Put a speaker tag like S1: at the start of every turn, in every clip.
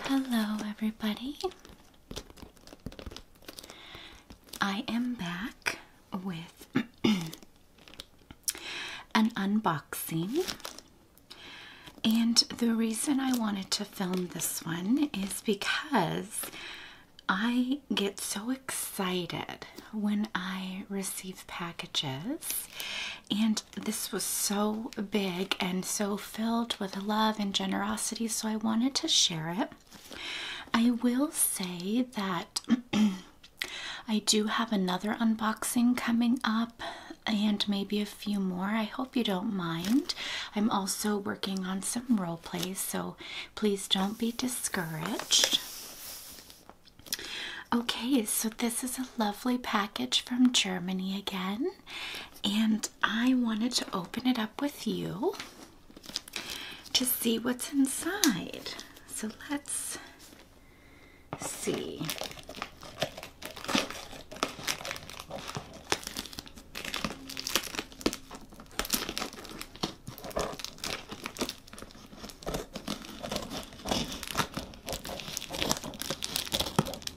S1: Hello, everybody. I am back with an unboxing. And the reason I wanted to film this one is because I get so excited when I receive packages and this was so big and so filled with love and generosity, so I wanted to share it. I will say that I do have another unboxing coming up and maybe a few more. I hope you don't mind. I'm also working on some role plays, so please don't be discouraged. Okay, so this is a lovely package from Germany again, and I wanted to open it up with you to see what's inside. So let's see.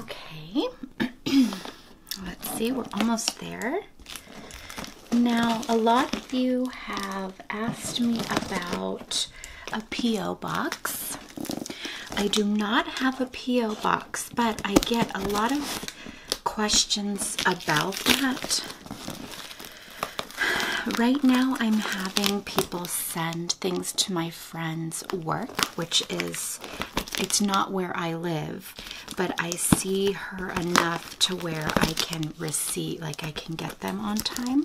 S1: Okay, let's see, we're almost there. Now, a lot of you have asked me about a P.O. box. I do not have a P.O. box, but I get a lot of questions about that. Right now, I'm having people send things to my friend's work, which is, it's not where I live, but I see her enough to where I can receive, like I can get them on time.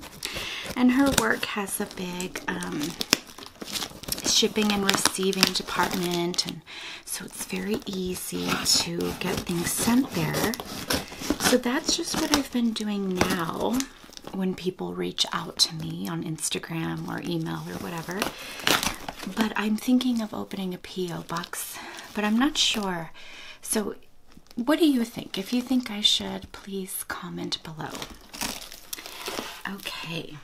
S1: And her work has a big um, shipping and receiving department, and so it's very easy to get things sent there. So that's just what I've been doing now when people reach out to me on Instagram or email or whatever. But I'm thinking of opening a P.O. box, but I'm not sure. So, what do you think? If you think I should, please comment below. Okay,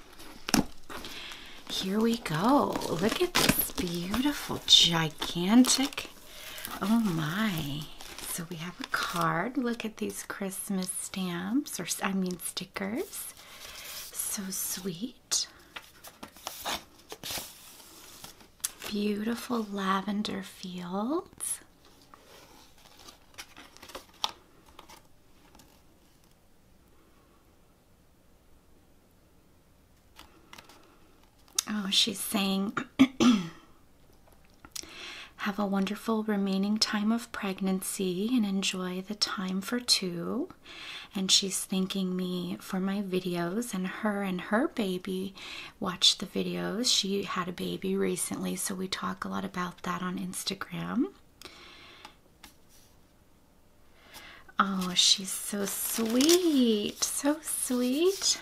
S1: here we go. Look at this beautiful, gigantic Oh my. So we have a card. Look at these Christmas stamps, or I mean stickers. So sweet. Beautiful lavender fields. Oh, she's saying, Have a wonderful remaining time of pregnancy and enjoy the time for two. And she's thanking me for my videos, and her and her baby watch the videos. She had a baby recently, so we talk a lot about that on Instagram. Oh, she's so sweet, so sweet.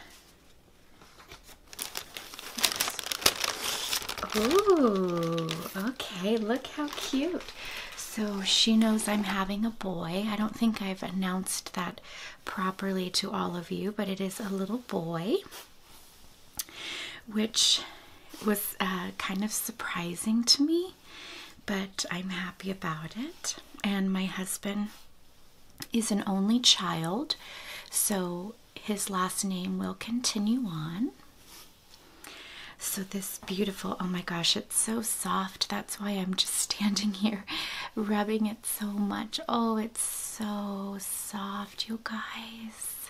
S1: Ooh, okay, look how cute. So she knows I'm having a boy. I don't think I've announced that properly to all of you, but it is a little boy, which was uh, kind of surprising to me, but I'm happy about it. And my husband is an only child, so his last name will continue on. So, this beautiful, oh my gosh, it's so soft. That's why I'm just standing here rubbing it so much. Oh, it's so soft, you guys.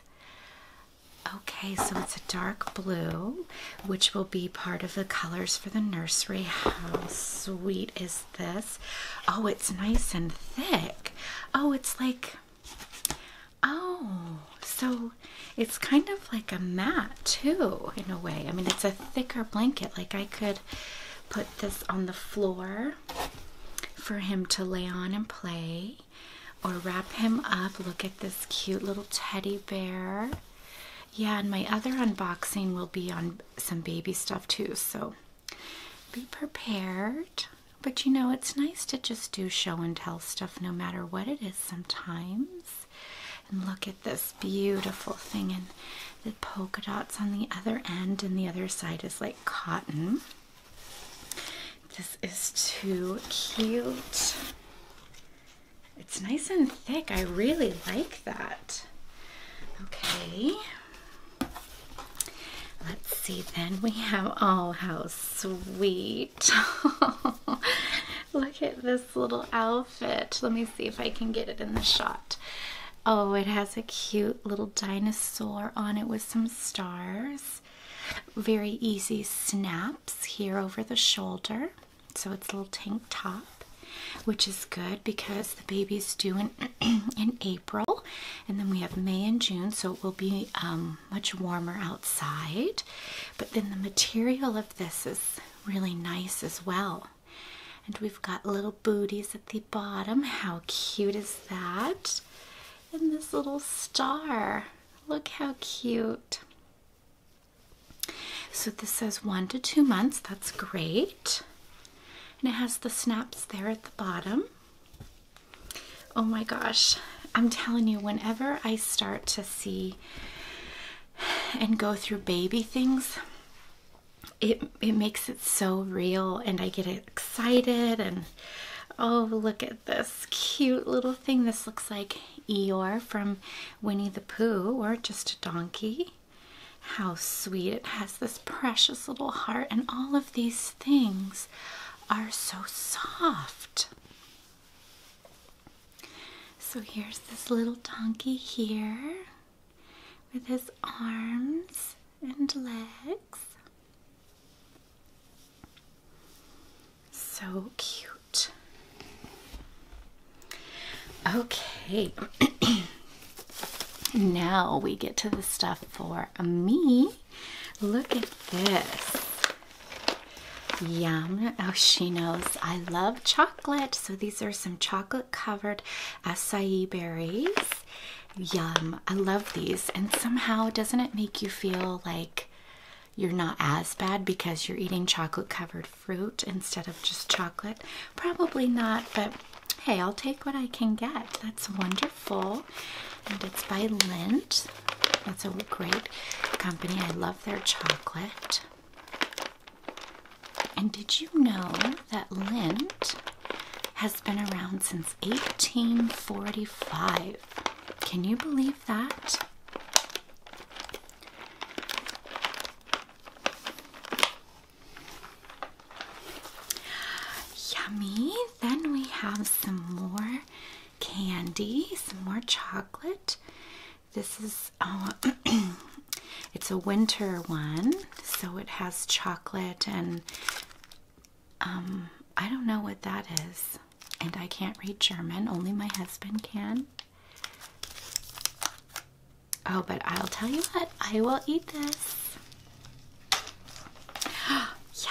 S1: Okay, so it's a dark blue, which will be part of the colors for the nursery. How sweet is this? Oh, it's nice and thick. Oh, it's like, oh, so it's kind of like a mat too, in a way. I mean, it's a thicker blanket. Like, I could put this on the floor for him to lay on and play or wrap him up. Look at this cute little teddy bear. Yeah, and my other unboxing will be on some baby stuff too. So be prepared. But you know, it's nice to just do show and tell stuff no matter what it is sometimes. And look at this beautiful thing and the polka dots on the other end, and the other side is like cotton. This is too cute. It's nice and thick. I really like that. Okay. Let's see, then we have, oh, how sweet. Look at this little outfit. Let me see if I can get it in the shot. Oh, it has a cute little dinosaur on it with some stars. Very easy snaps here over the shoulder. So it's a little tank top which is good because the baby's due in, in April, and then we have May and June, so it will be um, much warmer outside. But then the material of this is really nice as well. And we've got little booties at the bottom. How cute is that? And this little star. Look how cute. So this says one to two months. That's great and it has the snaps there at the bottom. Oh my gosh, I'm telling you, whenever I start to see and go through baby things, it it makes it so real and I get excited and oh look at this cute little thing. This looks like Eeyore from Winnie the Pooh or just a donkey. How sweet. It has this precious little heart, and all of these things are so soft. So here's this little donkey here with his arms and legs. So cute. Okay. now we get to the stuff for me. Look at this. Yum. Oh, she knows I love chocolate. So these are some chocolate covered acai berries. Yum. I love these. And somehow, doesn't it make you feel like you're not as bad because you're eating chocolate covered fruit instead of just chocolate? Probably not, but hey, I'll take what I can get. That's wonderful. And it's by Lindt. That's a great company. I love their chocolate. And did you know that Lindt has been around since 1845? Can you believe that? Yummy. Then we have some more candy, some more chocolate. This is uh, it's a winter one, so it has chocolate and um, I don't know what that is. And I can't read German, only my husband can. Oh, but I'll tell you what, I will eat this. yes.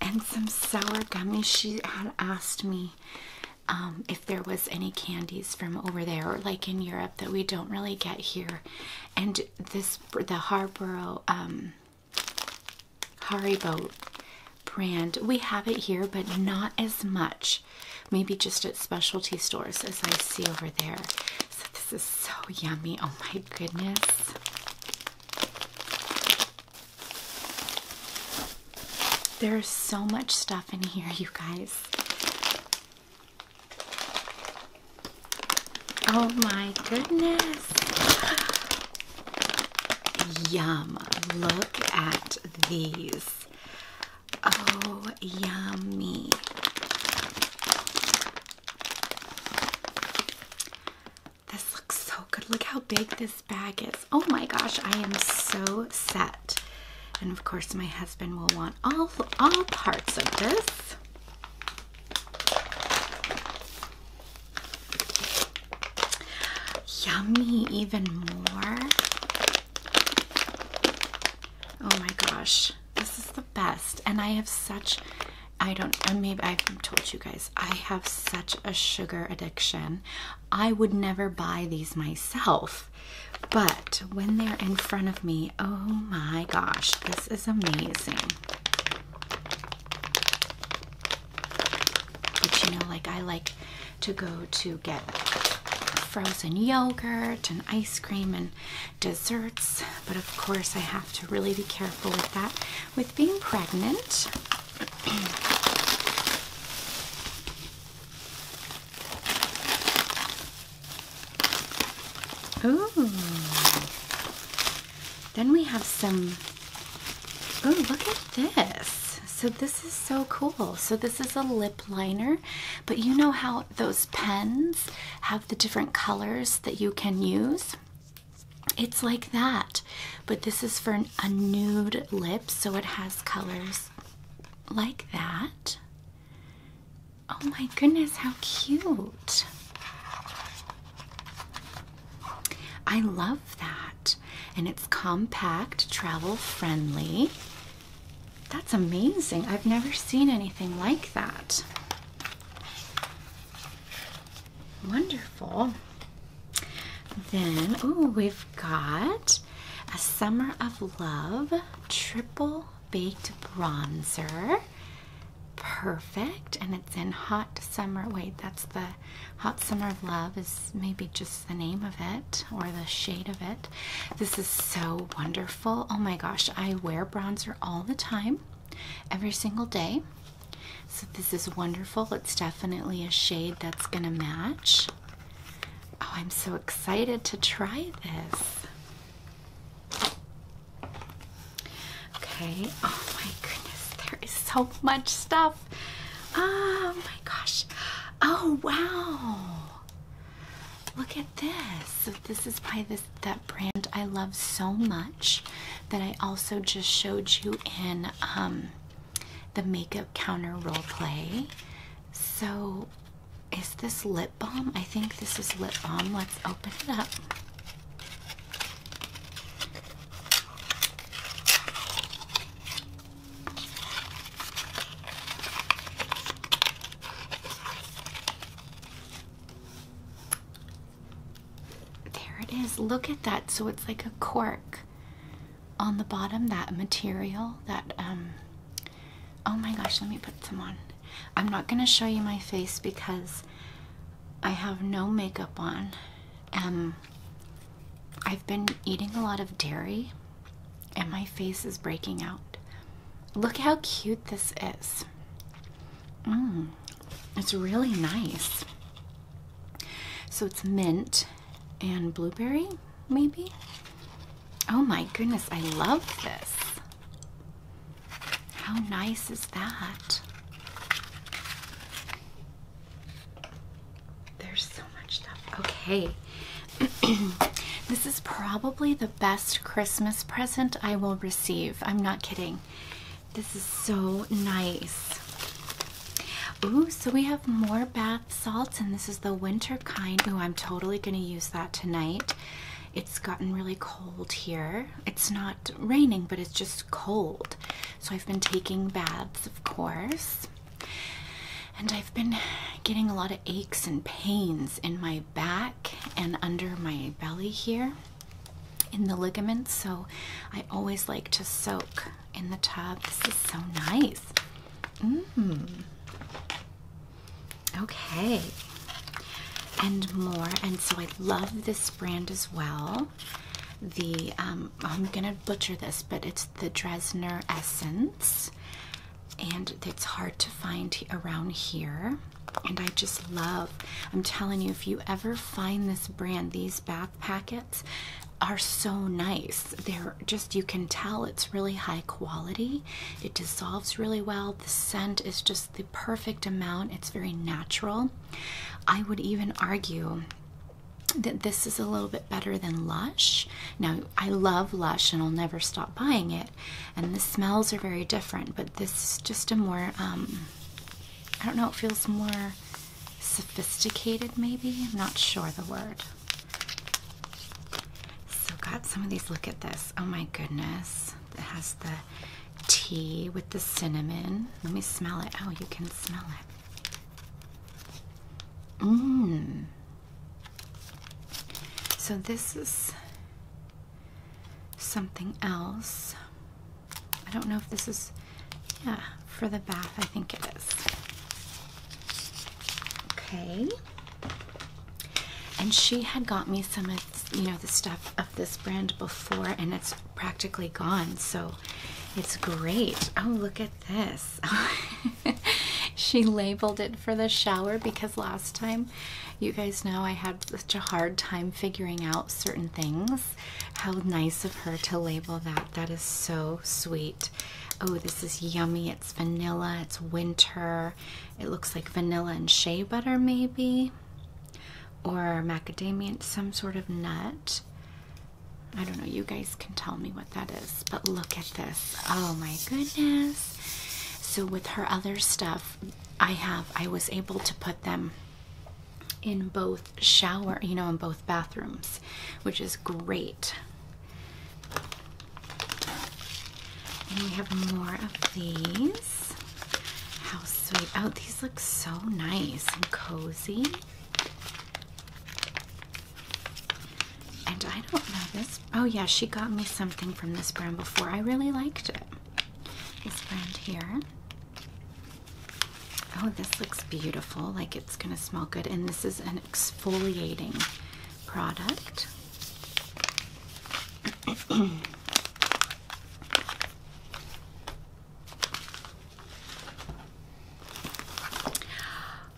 S1: And some sour gummies. She had asked me um, if there was any candies from over there or like in Europe that we don't really get here. And this, the Harborough, um, Haribo brand, we have it here, but not as much maybe just at specialty stores, as I see over there. So, this is so yummy. Oh my goodness. There's so much stuff in here, you guys. Oh my goodness. Yum. Look at these. Oh, yummy. This looks so good. Look how big this bag is. Oh my gosh, I am so set. And of course, my husband will want all, all parts of this. Yummy, even more. Oh my gosh, this is the best. And I have such, I don't, maybe I've told you guys, I have such a sugar addiction. I would never buy these myself. But when they're in front of me, oh my gosh, this is amazing. But you know, like I like to go to get frozen yogurt and ice cream and desserts. But of course, I have to really be careful with that with being pregnant. Ooh. Then we have some. Oh, look at this. So, this is so cool. So, this is a lip liner, but you know how those pens have the different colors that you can use? It's like that, but this is for an, a nude lip, so it has colors like that. Oh my goodness, how cute! I love that. And it's compact, travel friendly. That's amazing. I've never seen anything like that. Wonderful. Then, ooh, we've got a Summer of Love triple baked bronzer. Perfect. And it's in hot summer. Wait, that's the hot summer of love is maybe just the name of it or the shade of it. This is so wonderful. Oh my gosh, I wear bronzer all the time, every single day. So this is wonderful. It's definitely a shade that's going to match. Oh, I'm so excited to try this. Okay. Oh my goodness, there is so much stuff. Oh my gosh. Oh wow. Look at this. this is by this that brand I love so much that I also just showed you in um the makeup counter role play. So is this lip balm? I think this is lip balm. Let's open it up. There it is. Look at that. So it's like a cork on the bottom, that material, that, um, oh my gosh, let me put some on. I'm not going to show you my face because I have no makeup on. Um, I've been eating a lot of dairy and my face is breaking out. Look how cute this is. Mmm, it's really nice. So it's mint and blueberry, maybe? Oh my goodness, I love this. How nice is that? There's so much stuff. Okay. this is probably the best Christmas present I will receive. I'm not kidding. This is so nice. Ooh, so we have more bath salts, and this is the winter kind. Ooh, I'm totally going to use that tonight. It's gotten really cold here. It's not raining, but it's just cold. So I've been taking baths, of course. And I've been getting a lot of aches and pains in my back and under my belly here in the ligaments. So I always like to soak in the tub. This is so nice. Mmm. Okay. And more. And so I love this brand as well. The, um, I'm gonna butcher this, but it's the Dresner Essence and it's hard to find around here. And I just love, I'm telling you, if you ever find this brand, these bath packets are so nice. They're just, you can tell it's really high quality. It dissolves really well. The scent is just the perfect amount, it's very natural. I would even argue that this is a little bit better than Lush. Now, I love Lush and I'll never stop buying it, and the smells are very different, but this is just a more, um, I don't know, it feels more sophisticated maybe? I'm not sure the word. So, got some of these. Look at this. Oh my goodness. It has the tea with the cinnamon. Let me smell it. Oh, you can smell it. Mmm. So this is something else. I don't know if this is, yeah, for the bath, I think it is. Okay. And she had got me some of, you know, the stuff of this brand before and it's practically gone. So it's great. Oh, look at this. she labeled it for the shower because last time, you guys know I had such a hard time figuring out certain things. How nice of her to label that. That is so sweet. Oh, this is yummy. It's vanilla. It's winter. It looks like vanilla and shea butter, maybe, or macadamia, some sort of nut. I don't know, you guys can tell me what that is, but look at this. Oh my goodness. So with her other stuff, I have I was able to put them in both shower, you know, in both bathrooms, which is great. And we have more of these. How sweet. Oh, these look so nice and cozy. And I don't know this. Oh, yeah, she got me something from this brand before. I really liked it. This brand here. Oh, this looks beautiful. Like it's going to smell good. And this is an exfoliating product.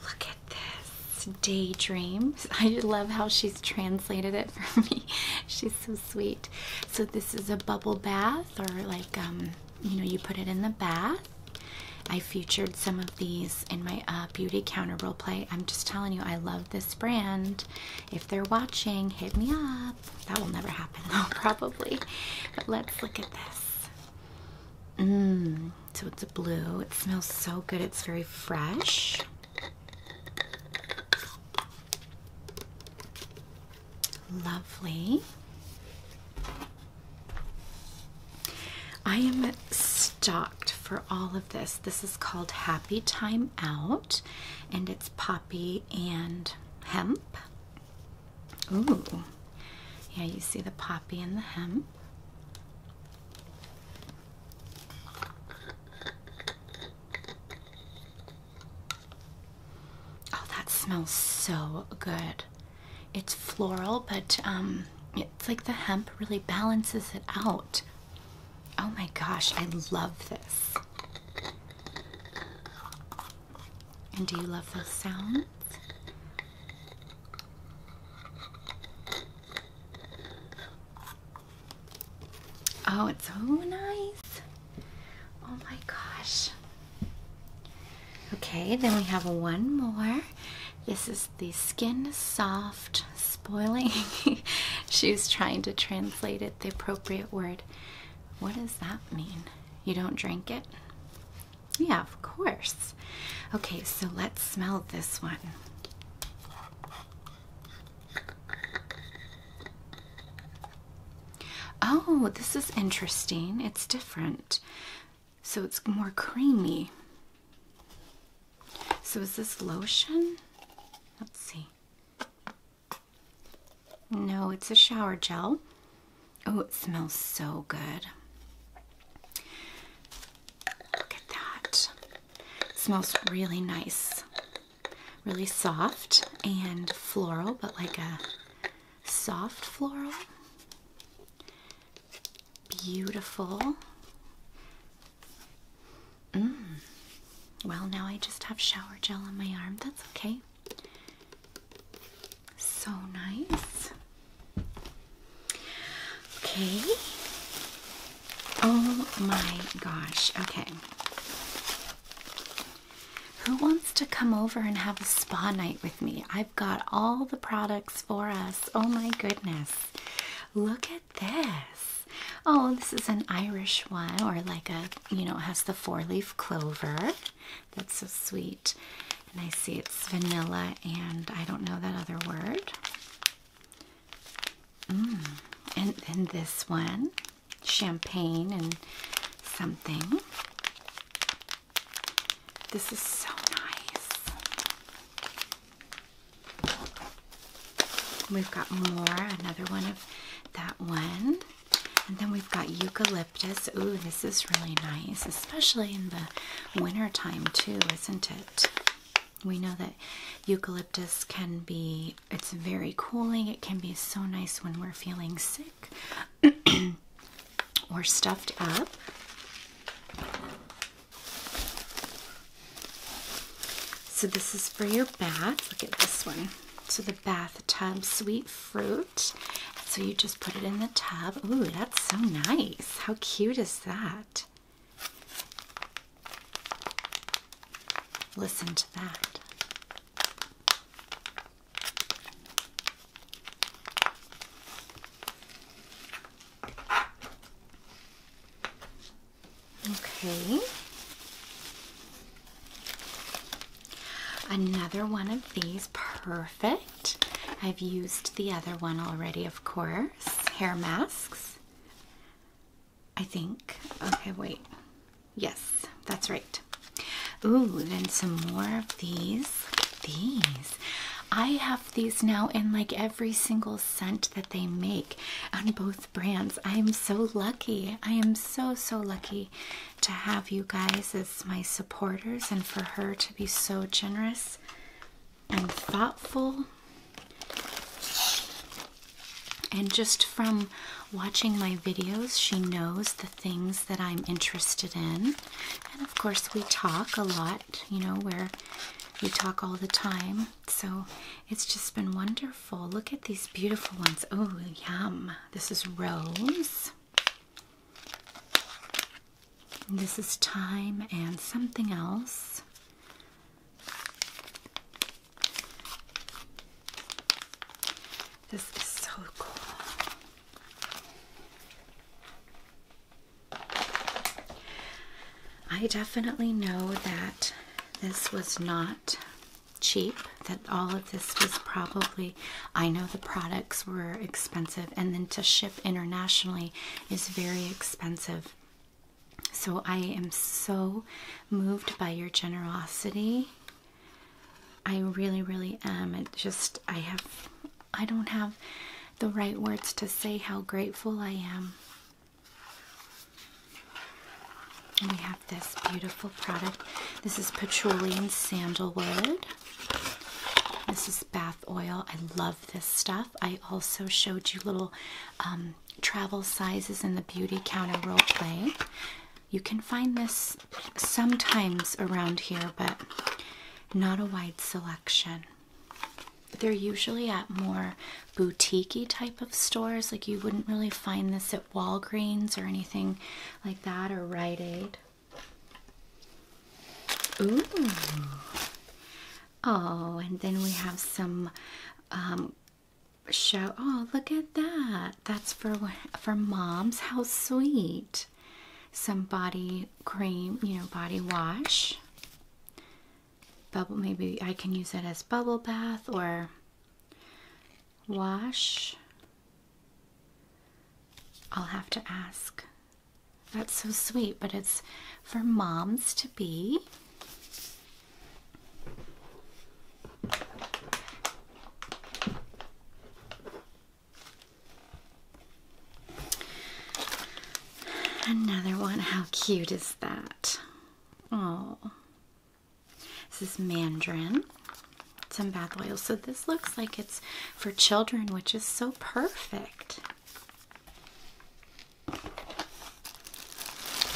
S1: Look at this. Daydreams. I love how she's translated it for me. She's so sweet. So this is a bubble bath or like um, you know you put it in the bath. I featured some of these in my uh, beauty counter role play. I'm just telling you I love this brand. If they're watching, hit me up. That will never happen though probably. But let's look at this. Mmm. So it's a blue. It smells so good. It's very fresh. Lovely. I am stocked for all of this. This is called Happy Time Out and it's poppy and hemp. Ooh, yeah, you see the poppy and the hemp. Oh, that smells so good. It's floral, but um, it's like the hemp really balances it out. Oh my gosh, I love this. And do you love those sounds? Oh, it's so nice. Oh my gosh. Okay, then we have one more. This is the Skin Soft Spoiling. She was trying to translate it the appropriate word. What does that mean? You don't drink it? Yeah, of course. Okay, so let's smell this one. Oh, this is interesting. It's different. So it's more creamy. So is this lotion? Let's see. No, it's a shower gel. Oh, it smells so good. Look at that. It smells really nice. Really soft and floral, but like a soft floral. Beautiful. Mmm. Well, now I just have shower gel on my arm. That's okay. So nice. Okay. Oh my gosh. Okay. Who wants to come over and have a spa night with me? I've got all the products for us. Oh my goodness. Look at this. Oh, this is an Irish one or like a, you know, has the four leaf clover. That's so sweet. And I see it's vanilla and I don't know that other word. Mm. And then this one, champagne and something. This is so nice. We've got more, another one of that one. And then we've got eucalyptus eucalyptus. Ooh, this is really nice, especially in the winter time too, isn't it? We know that eucalyptus can be it's very cooling. It can be so nice when we're feeling sick or stuffed up. So this is for your bath. Look at this one. So the bath the tub sweet fruit. So you just put it in the tub. Ooh, that's so nice. How cute is that? Listen to that. Okay. Another one of these, perfect. I've used the other one already, of course. Hair masks, I think. Okay, wait. Yes, that's right. Ooh, then some more of these. These. I have these now in like every single scent that they make on both brands. I am so lucky. I am so, so lucky to have you guys as my supporters and for her to be so generous and thoughtful. And just from watching my videos, she knows the things that I'm interested in. And of course, we talk a lot, you know, where we talk all the time. So it's just been wonderful. Look at these beautiful ones. Oh, yum. This is rose this is time and something else. This is so cool. I definitely know that this was not cheap that all of this was probably, I know the products were expensive, and then to ship internationally is very expensive. So I am so moved by your generosity. I really, really am. It just, I have, I don't have the right words to say how grateful I am. And we have this beautiful product. This is patchouli and sandalwood. This is bath oil. I love this stuff. I also showed you little um, travel sizes in the beauty counter role play. You can find this sometimes around here, but not a wide selection. They're usually at more boutique type of stores. Like you wouldn't really find this at Walgreens or anything like that or Rite Aid. Ooh. Oh, and then we have some um, show. Oh, look at that. That's for for moms. How sweet. Some body cream, you know, body wash. Bubble maybe I can use that as bubble bath or wash I'll have to ask. That's so sweet, but it's for moms to be. Another one. How cute is that? Oh. This is Mandarin some bath oils. So this looks like it's for children, which is so perfect.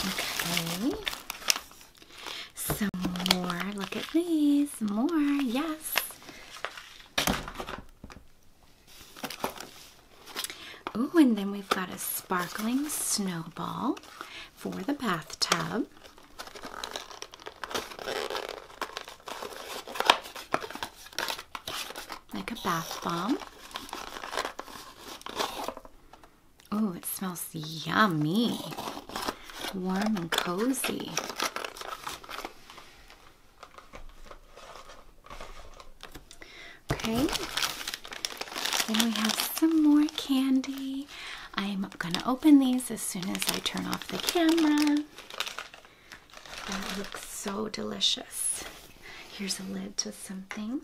S1: Okay. Some more. Look at these. More. Yes. Oh, and then we've got a sparkling snowball for the bathtub. Like a bath bomb. Oh, it smells yummy. Warm and cozy. Okay. Then we have some more candy. I'm gonna open these as soon as I turn off the camera. That looks so delicious. Here's a lid to something.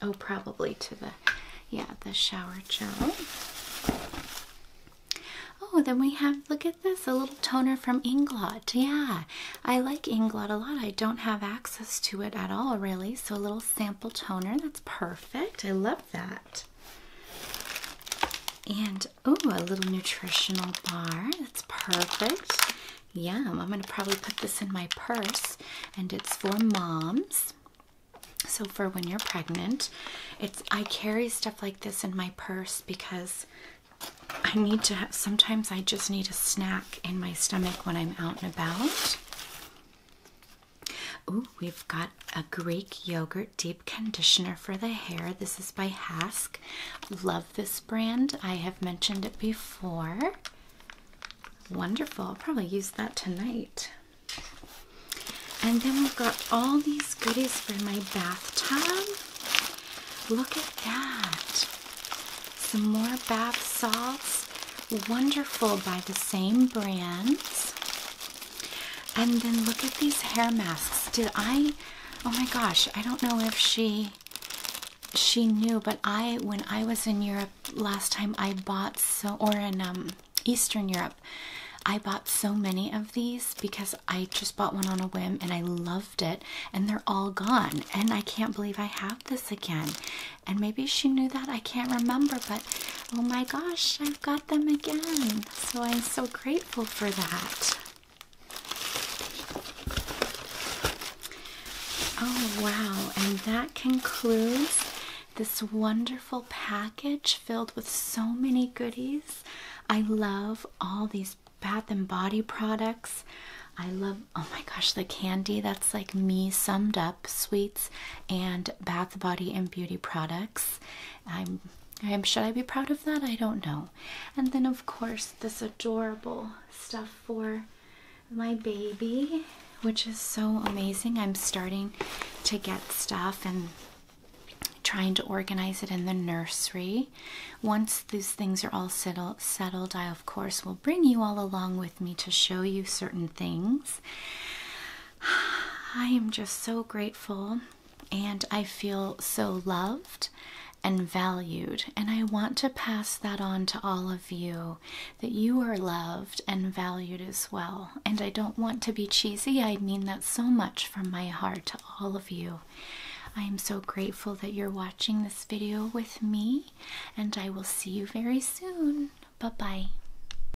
S1: Oh, probably to the, yeah, the shower gel. Oh, then we have, look at this, a little toner from Inglot. Yeah, I like Inglot a lot. I don't have access to it at all, really. So a little sample toner, that's perfect. I love that. And oh, a little nutritional bar. That's perfect. Yum. I'm going to probably put this in my purse, and it's for moms. So, for when you're pregnant, it's I carry stuff like this in my purse because I need to sometimes I just need a snack in my stomach when I'm out and about. Ooh, we've got a Greek yogurt deep conditioner for the hair. This is by Hask. Love this brand. I have mentioned it before. Wonderful. probably use that tonight. And then we've got all these goodies for my bathtub. Look at that. Some more bath salts. Wonderful by the same brands. And then look at these hair masks. Did I Oh my gosh, I don't know if she she knew, but I when I was in Europe last time I bought so or in um Eastern Europe, I bought so many of these because I just bought one on a whim and I loved it and they're all gone and I can't believe I have this again. And maybe she knew that. I can't remember, but oh my gosh, I've got them again. So I'm so grateful for that. Oh, wow. And that concludes this wonderful package filled with so many goodies. I love all these bath and body products. I love, oh my gosh, the candy. That's like me summed up sweets and bath, body, and beauty products. I'm should I be proud of that? I don't know. And then of course this adorable stuff for my baby, which is so amazing. I'm starting to get stuff and trying to organize it in the nursery. Once these things are all settled, I of course will bring you all along with me to show you certain things. I am just so grateful and I feel so loved and valued. And I want to pass that on to all of you that you are loved and valued as well. And I don't want to be cheesy, I mean that so much from my heart to all of you. I am so grateful that you're watching this video with me, and I will see you very soon. Bye bye.